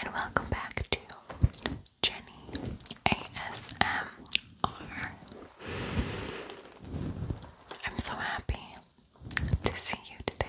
and welcome back to Jenny ASMR. I'm so happy to see you today.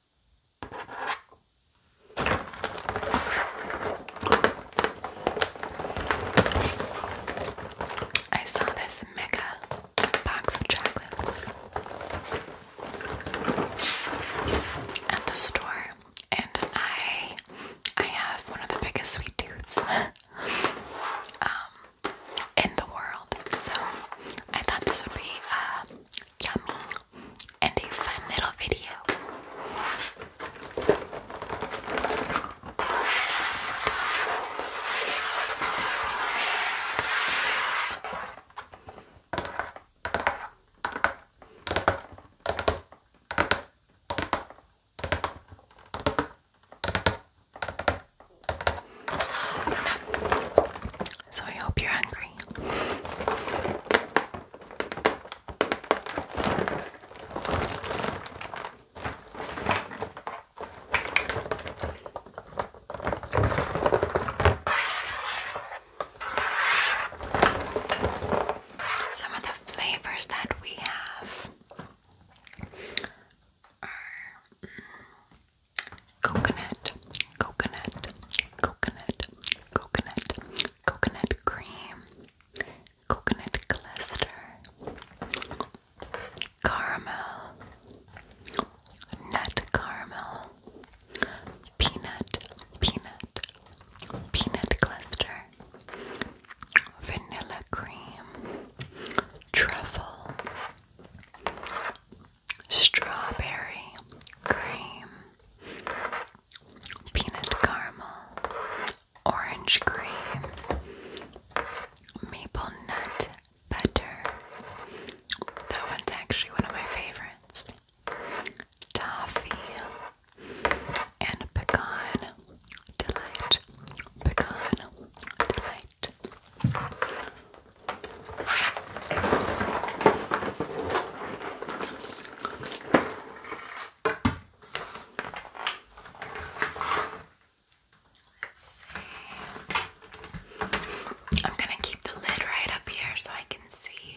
I saw this mega box of chocolates at the store, and I I have one of the biggest sweet tooth. Um, in the world. So I thought this would be a uh, yummy and a fun little video. So I hope you're hungry. Some of the flavors that we have are mm, coconut, coconut, coconut, coconut, coconut cream, coconut cluster, caramel, nut caramel, peanut, peanut, peanut cluster, vanilla cream, truffle, strawberry cream, peanut caramel, orange cream, maple nut butter. That one's actually one of my favorites. Toffee and pecan delight. Pecan delight. Let's see. I'm going to keep the lid right up here so I can see.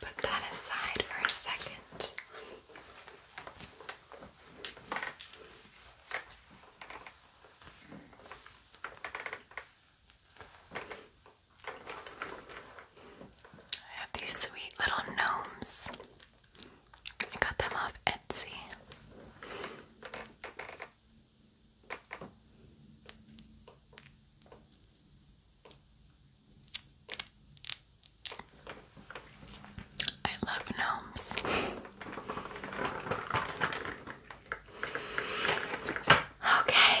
Put that aside for a second. I have these sweet little gnomes. I got them off Etsy. I love gnomes. Okay.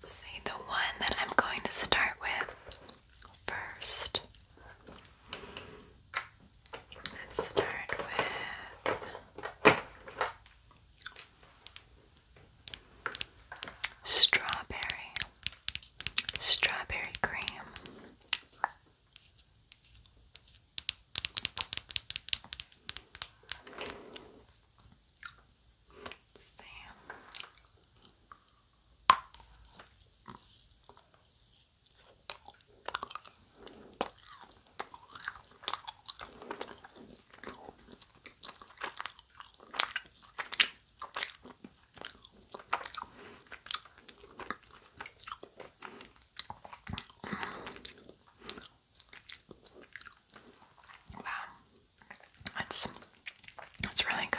Let's see the one that I'm going to start with first. Let's start with strawberry, strawberry cream. let Wow, that's that's really good.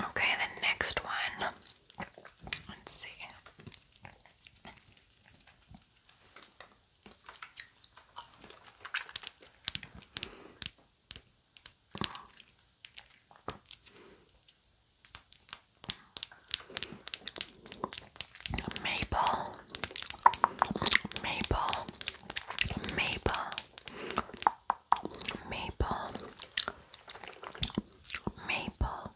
Okay, the next one. Let's see. Maple, maple, maple, maple, maple,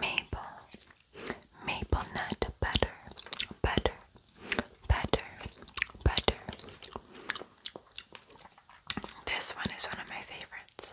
maple, maple nut butter, butter, butter, butter. This one is one of my favorites.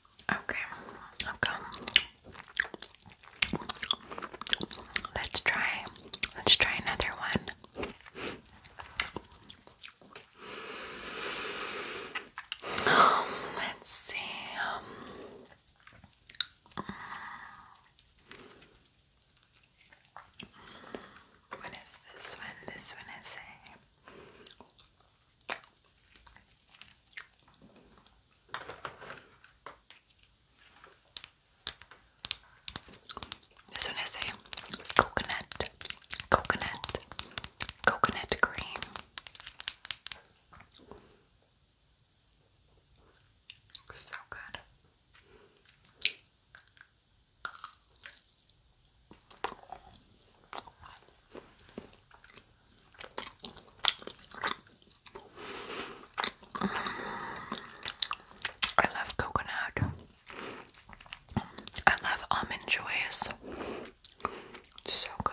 Okay, okay. Let's try. Let's try another one. Um, let's see. Um, what is this one? This one is a as soon I say coconut, coconut, coconut cream. So good. I love coconut. I love almond joys. so good.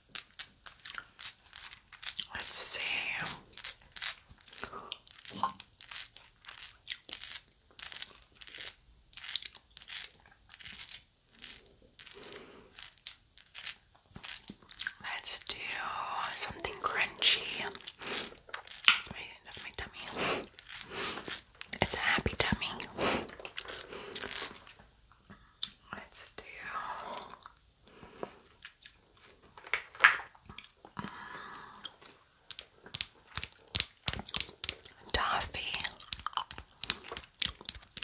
Let's see. Let's do something crunchy. That's my that's my tummy. It's a happy tummy. Let's do. Toffee.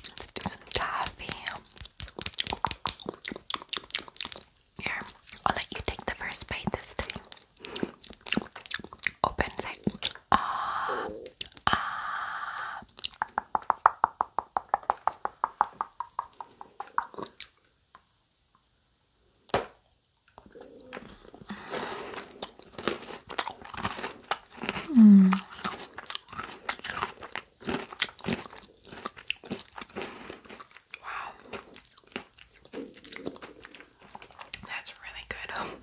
Let's do some toffee. Here, I'll let you take the first bite this time. Opens it. Ah, Ah. Mm. Wow. That's really good.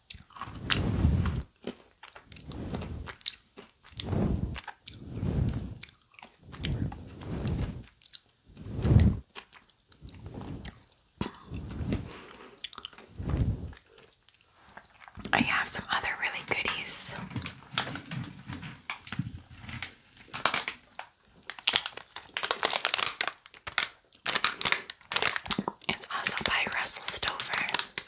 I have some other really goodies. It's also by Russell Stover.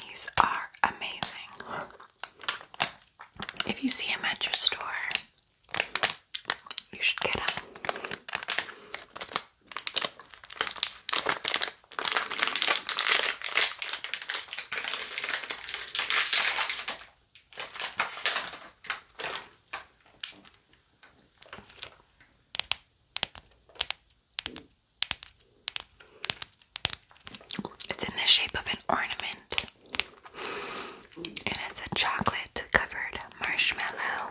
These are amazing. If you see them at your store, you should get them. It's in the shape of an ornament, and it's a chocolate covered marshmallow.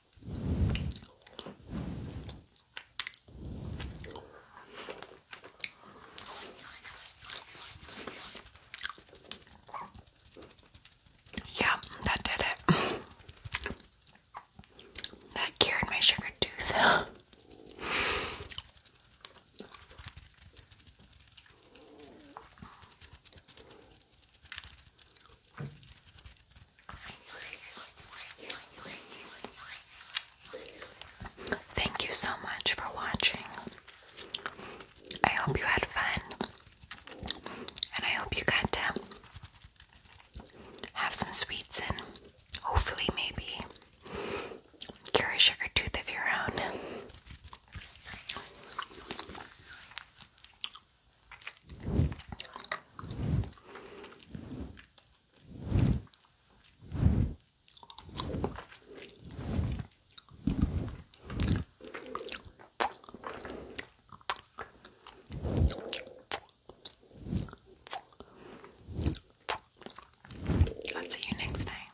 Yeah, that did it. That cured my sugar tooth. Thank you so much for watching. I hope you had fun. And I hope you got to have some sweets and hopefully, maybe, cure a sugar tooth of your own. I'll see you next time.